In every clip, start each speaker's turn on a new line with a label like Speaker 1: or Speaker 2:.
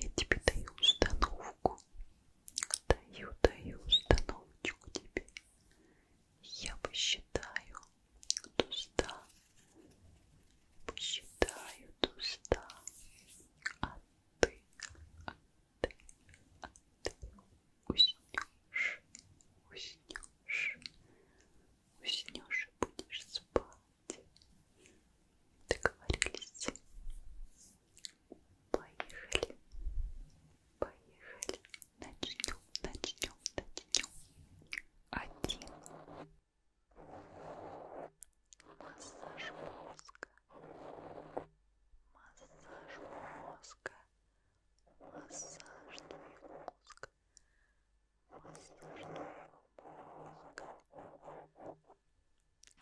Speaker 1: Я тебе даю установку. Даю, даю установочку тебе. Я посчитаю до ста. Посчитаю до ста. А ты, а ты, а ты уснешь, уснешь, уснешь и будешь спать. Договорились. Поехали. Поехали. Начнем, начнем, начнем. Один. Массаж мозга. Массаж мозга. Массаж твоих мозг мозг. Воздушного мозга.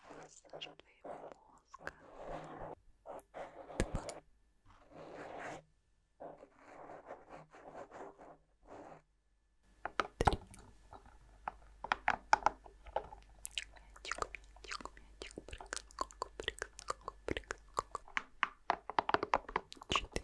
Speaker 1: Воздушный мозга. Три. Мячик, мячик, мячик, прыгай, ку-ку, прыгай, ку-ку, прыгай, ку-ку. Четыре.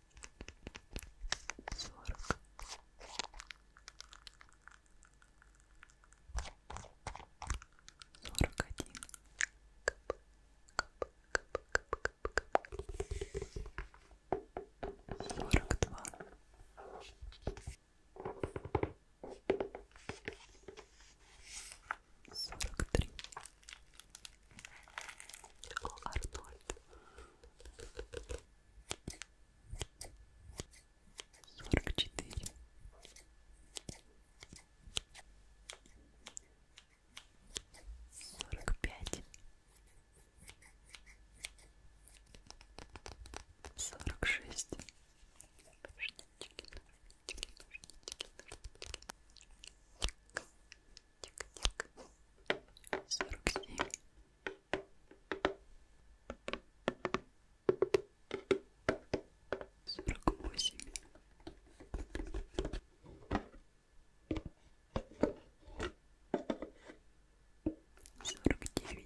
Speaker 1: сорок сорок один сорок два сорок три сорок о, Арнольд. Сорок четыре. Сорок пять. Сорок шесть. Ножнички, ножнички, ножнички, ножнички сорок семь сорок восемь сорок девять пятьдесят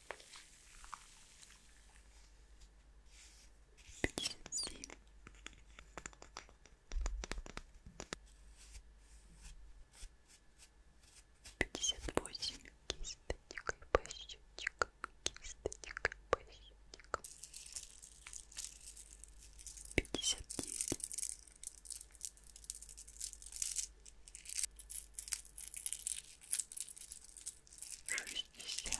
Speaker 1: птенцы пятьдесят восемь кисточек и пощечек кисточек и пощечек пятьдесят девять пятьдесят шестьдесят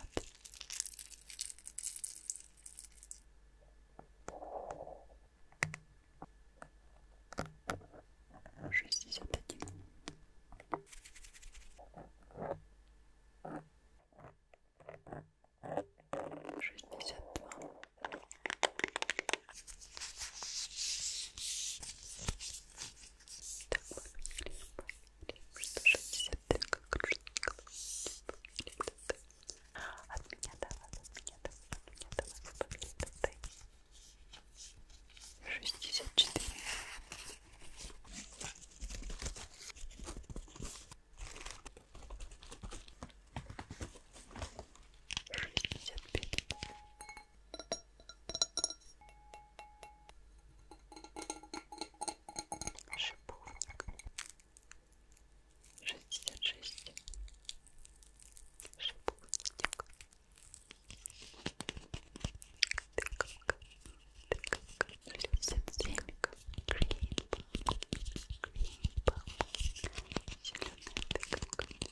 Speaker 1: шестьдесят один шестьдесят два так, от меня давай, от меня давай, от меня давай, побери, дай. 64. Шестьдесят пять. Шестьдесят шиповник шестьдесят шесть шиповник тыковка тыковка семь семейка гринба гринба зеленая тыковка зеленая шестьдесят восемь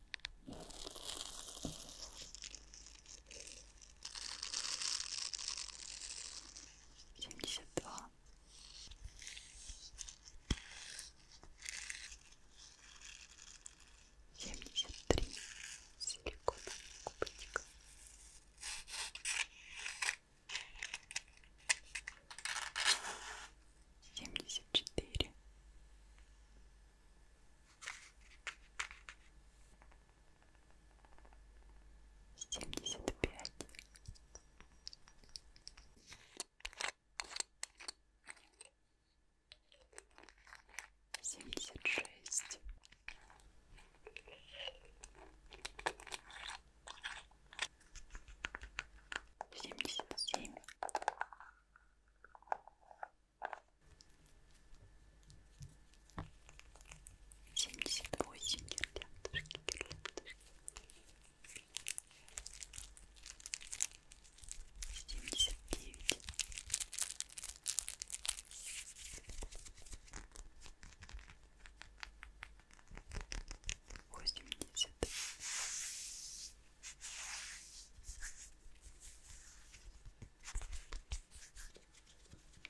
Speaker 1: семьдесят два семьдесят три силиконовых кубочка семьдесят четыре Семьдесят пять. Семьдесят шесть. Семьдесят семь семьдесят восемь гирляндочки, гирляндочки. семьдесят девять восемьдесят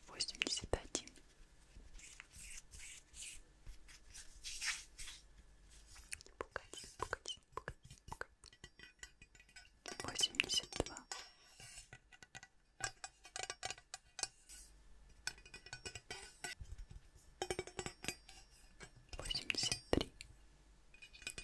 Speaker 1: восемьдесят один погоди, погоди, погоди, погоди. восемьдесят два восемьдесят три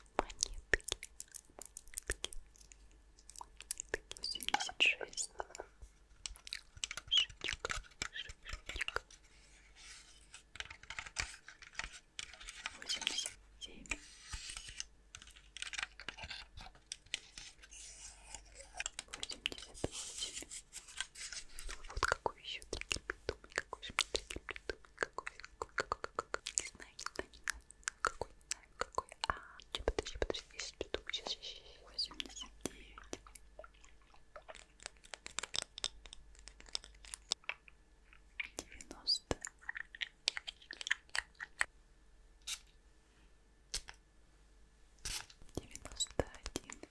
Speaker 1: монетки, монетки, монетки, семьдесят шесть, шишечек, шишечек, восемьдесят семь, восемьдесят восемь. Ну вот какой еще триггер придумать, какой же мне триггер придумать, какой, не знаю, не знаю, не знаю, какой, не знаю, какой, а, че, подожди, подожди, я сейчас придумаю, сейчас, сейчас, сейчас, 89, девяносто, девяносто один,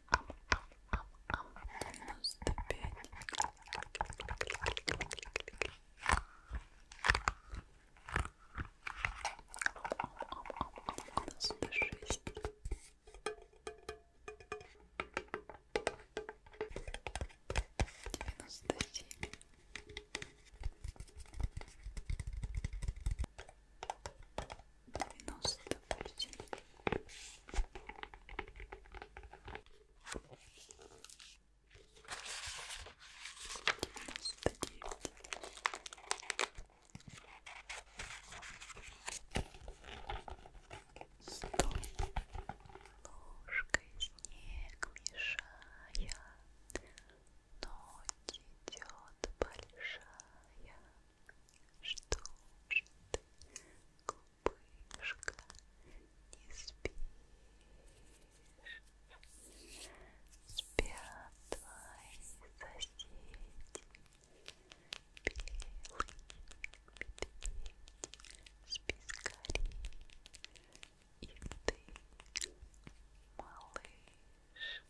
Speaker 1: девяносто пять девяносто шесть девяносто семь девяносто восемь девяносто девять 90, допустим. Девяносто девять. Сто. Ложкой снег мешая, ночь идет большая. Что же ты, глупышка, не спишь? Спят твои соседи, белые медведи, спи скорей, и ты, малыш.